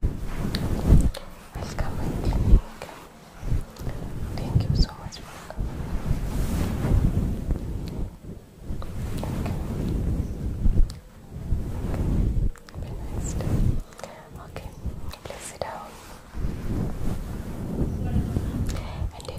Welcome Thank you so much for coming. Okay. Be nice. Okay. Please sit down. Okay.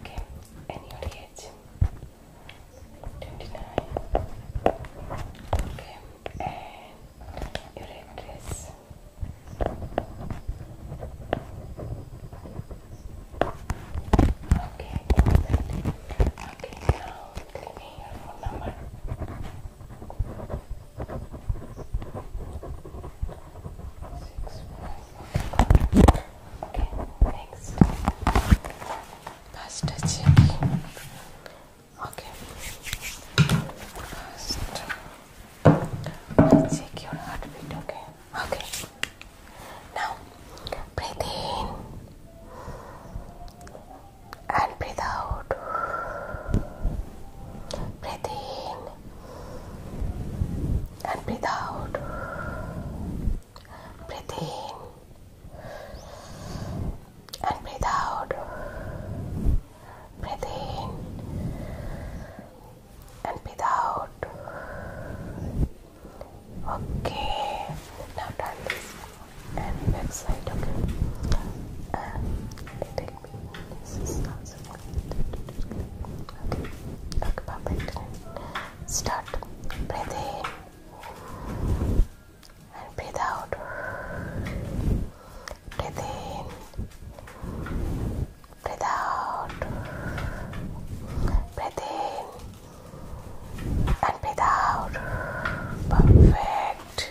Okay, and your age? 29. Okay, and your address? Okay, okay, now give me your phone number next pasta chicken. Okay, 1st check your heartbeat. Okay, okay. Now breathe in and breathe out. Breathe in and breathe out. Breathe in and breathe out. Breathe in and breathe out. Okay, now turn this and back side. Okay, and this is not perfect. Start. Breathe in and breathe out. Breathe in. Breathe out. Breathe in and breathe out. Perfect.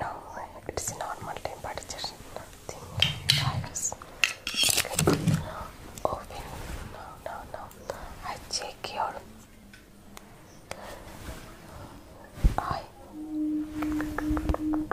No, it's a normal temperature, nothing virus. Okay. Open. No, no, no. I check your eye. Okay.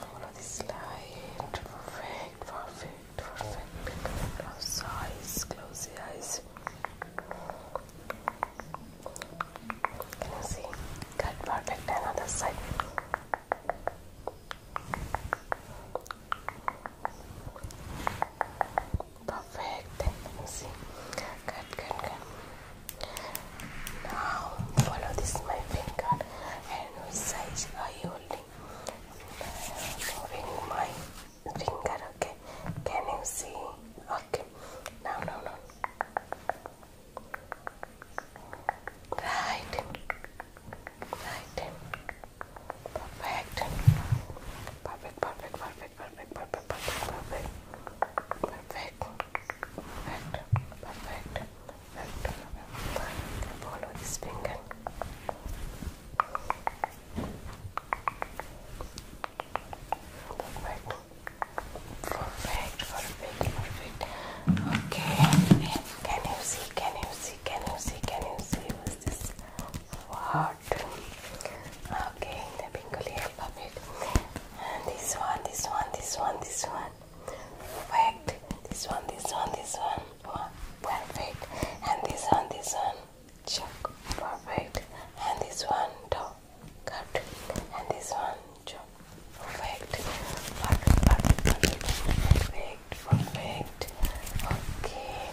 follow this line. Perfect, perfect, perfect. Close eyes, close the eyes. Can you see? Good, perfect. Another side. Perfect. Then you see. Good, good, good. Now follow this my finger and which size are you holding? Moving my finger, okay. Can you see? Okay. Now, no, no. Perfect, perfect, perfect, perfect, perfect, perfect, perfect. Perfect. Perfect, perfect, perfect. Follow this finger. Perfect. Perfect, perfect, perfect. Okay. Can you see? Can you see? Can you see? Can you see? What? Okay, the Bengali alphabet. And this one, this one, this one, this one one. Perfect. This one, this one, this one. One. Perfect. And this one, this one. Check. Perfect. And this one, top. Cut. And this one, chop. Perfect. Perfect. Perfect. Perfect. Perfect. Perfect. Okay.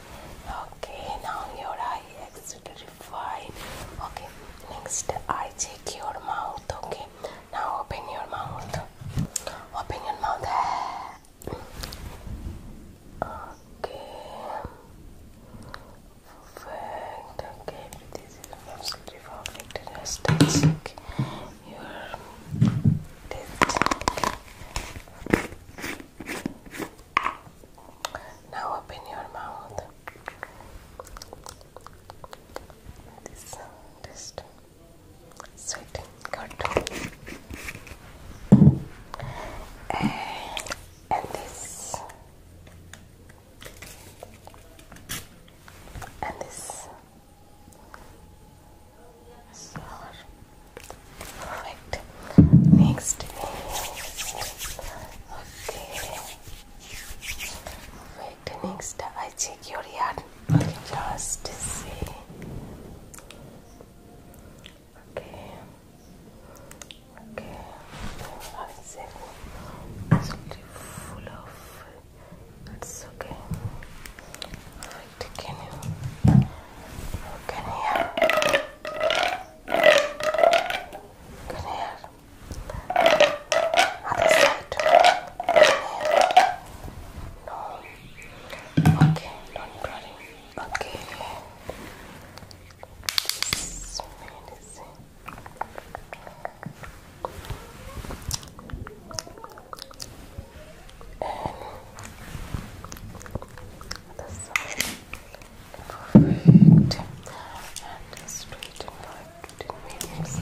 Okay. Now your eye is absolutely fine. Okay. Next, I check your mouth. Okay. Now open your mouth. Open your mouth. Okay. Okay, this is absolutely perfect. Just your teeth. Now open your mouth. This, this. Sweet, good. Uh, and, this, and this. So, perfect. next. Okay. Right next, I check your yard just see. Okay. Okay. It's absolutely full of. That's okay. Right, can you? Can you hear? Can you other No. Okay, don't worry. Okay. This medicine. Perfect. And just waiting for it to be mediums.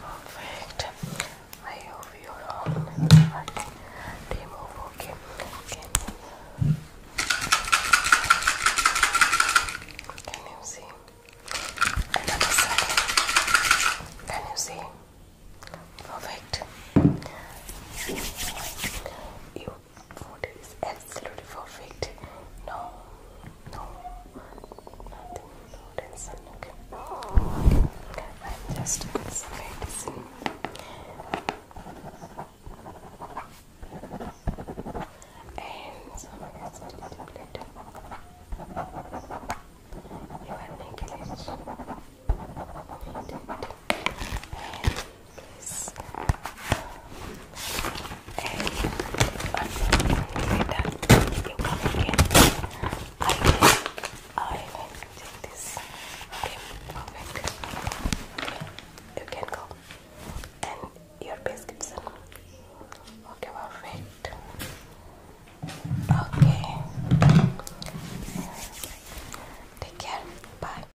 Perfect. I hope you're all in the right team Can, you see? Another side. Can you see? Perfect. You food is absolutely perfect. No, no, nothing, no tension. Okay, okay, I'm just some And some medicine You are making is unfortunately that you come again. I will, I will take this. Okay, perfect. You can go. And your biscuits. Okay, perfect. Okay. Take care. Bye.